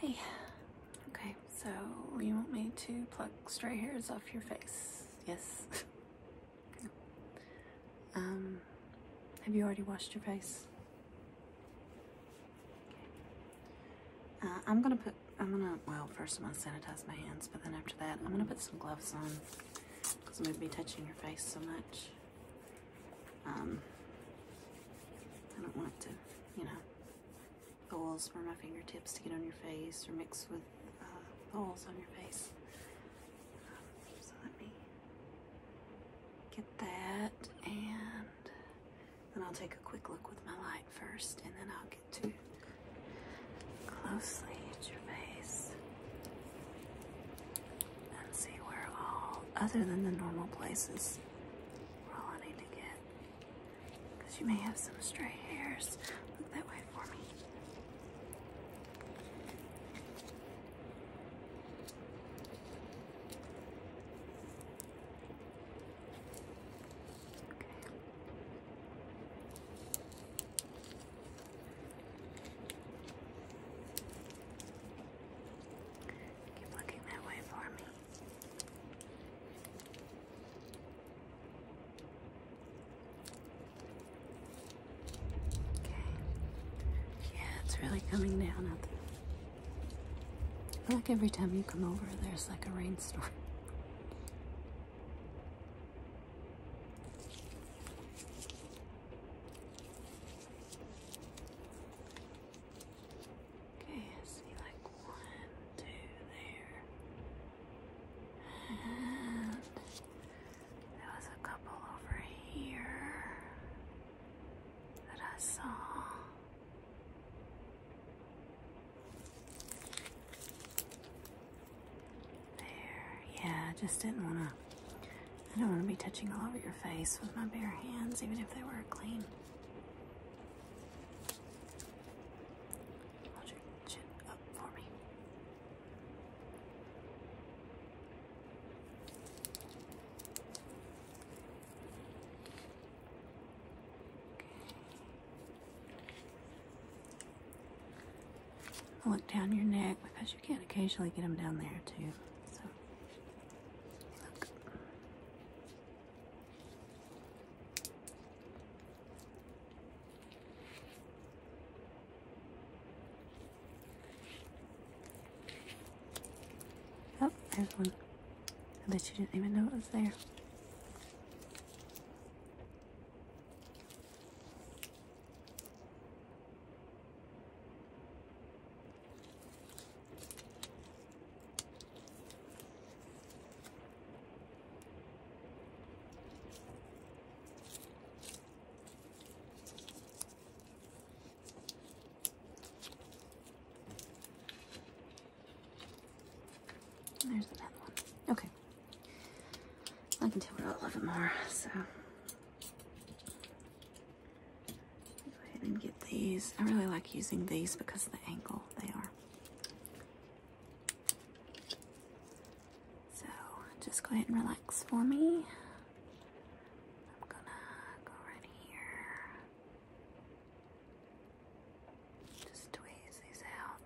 Hey, okay, so you want me to pluck stray hairs off your face? Yes. Um, have you already washed your face? Uh, I'm gonna put, I'm gonna, well, first I'm gonna sanitize my hands, but then after that, I'm gonna put some gloves on because I'm gonna be touching your face so much. Um, I don't want to, you know, oils from my fingertips to get on your face or mix with uh, oils on your face. so let me get that and then I'll take a quick look with my light first and then I'll get to closely at your face and see where all, other than the normal places, where all I need to get. Because you may have some stray hairs. Look that way for me. Okay. Keep looking that way for me. Okay. Yeah, it's really coming down out there. I feel like every time you come over, there's like a rainstorm. Okay, I see like one, two there. And there was a couple over here that I saw. There, yeah, I just didn't want to I don't want to be touching all over your face with my bare hands, even if they were clean. Hold your chin up for me look down your neck because you can not occasionally get them down there too. So, look. Oh, there's one. I bet you didn't even know it was there. There's another one. Okay. I can tell we're all loving more, so Go ahead and get these. I really like using these because of the angle they are. So just go ahead and relax for me. I'm gonna go right here. Just tweeze these out.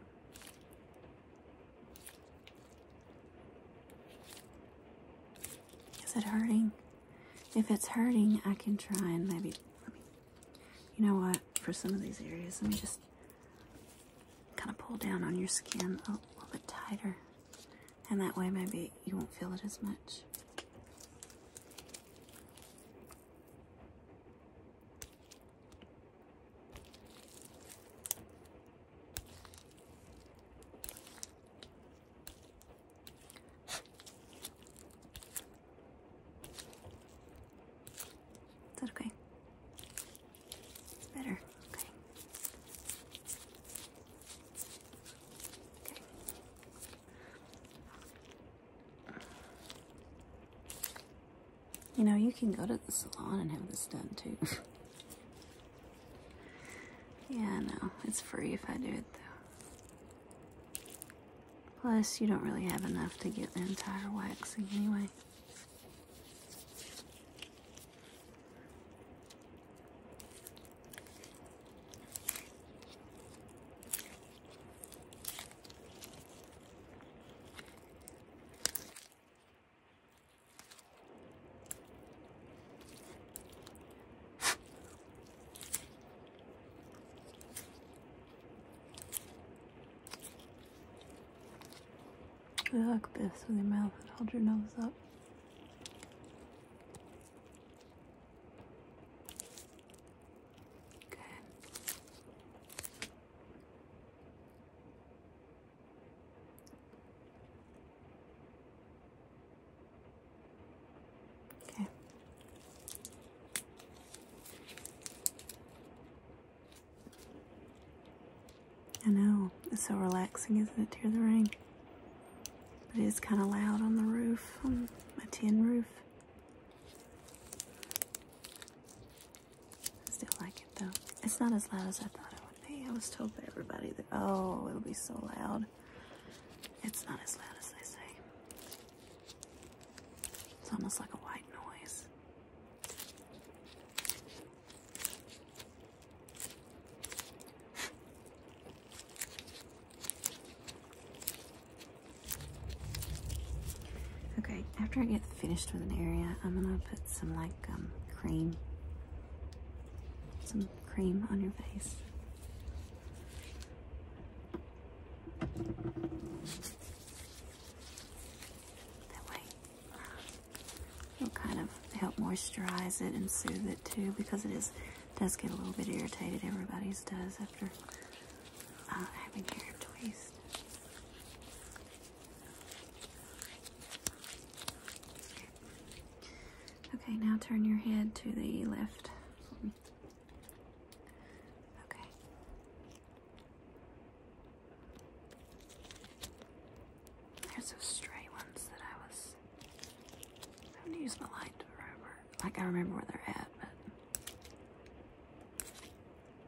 Is it hurting? If it's hurting, I can try and maybe, you know what, for some of these areas, let me just kind of pull down on your skin a little bit tighter. And that way maybe you won't feel it as much. Is that okay? Better. Okay. Okay. You know, you can go to the salon and have this done too. yeah, no, it's free if I do it though. Plus, you don't really have enough to get the entire waxing anyway. Look this with your mouth and hold your nose up. Okay. I know, it's so relaxing, isn't it, to hear the rain? But it is kind of loud on the roof, on my tin roof. I still like it though. It's not as loud as I thought it would be. I was told by everybody that, oh, it'll be so loud. It's not as loud as they say. It's almost like a white noise. Okay, after I get finished with an area, I'm gonna put some like um, cream, some cream on your face. That way, it'll kind of help moisturize it and soothe it too, because it is does get a little bit irritated. Everybody's does after uh, having hair twist. Okay, now turn your head to the left. Okay. There's those stray ones that I was. I'm gonna use my light to Like I remember where they're at, but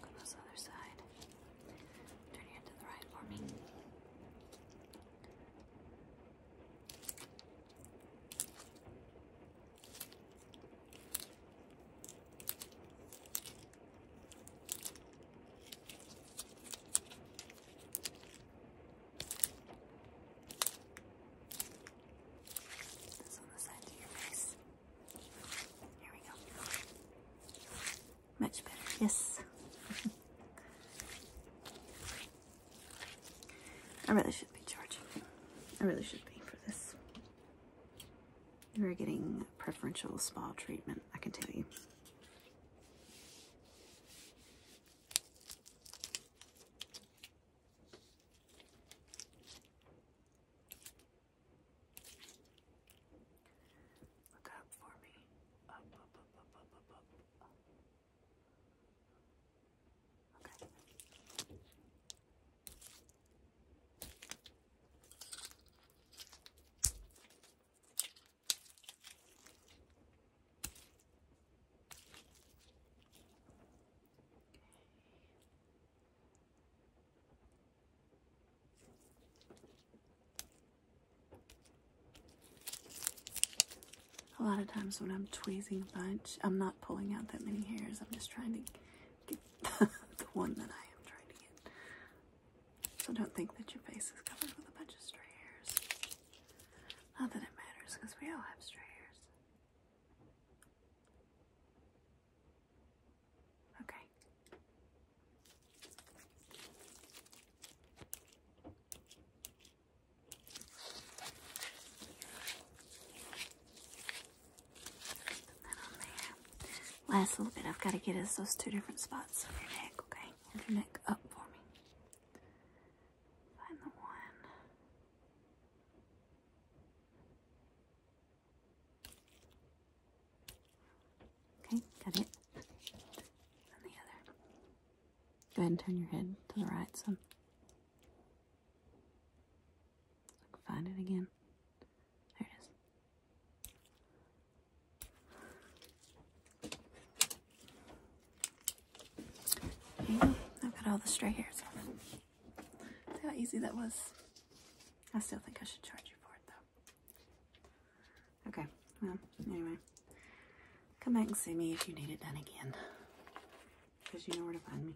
Go this other side. Turn your head to the right for me. Good. This on the side of your face. Here we go. Much better. Yes. I really should be charging. I really should be for this. You're getting preferential spa treatment, I can tell you. Look up for me. Up, up, up, up, up, up, up. up. Okay. A lot of times when I'm tweezing bunch, I'm not pulling out that many hairs. I'm just trying to get the, the one that I am trying to get. So don't think that your face is covered with a bunch of stray hairs. Not that it matters because we all have stray hairs. Okay. Last little bit, I've got to get us those two different spots of your neck, okay? Have your neck up for me. Find the one. Okay, got it. And the other. Go ahead and turn your head to the right So find it again. There it is. I've got all the stray hairs off. See how easy that was? I still think I should charge you for it though. Okay, well, anyway. Come back and see me if you need it done again. Because you know where to find me.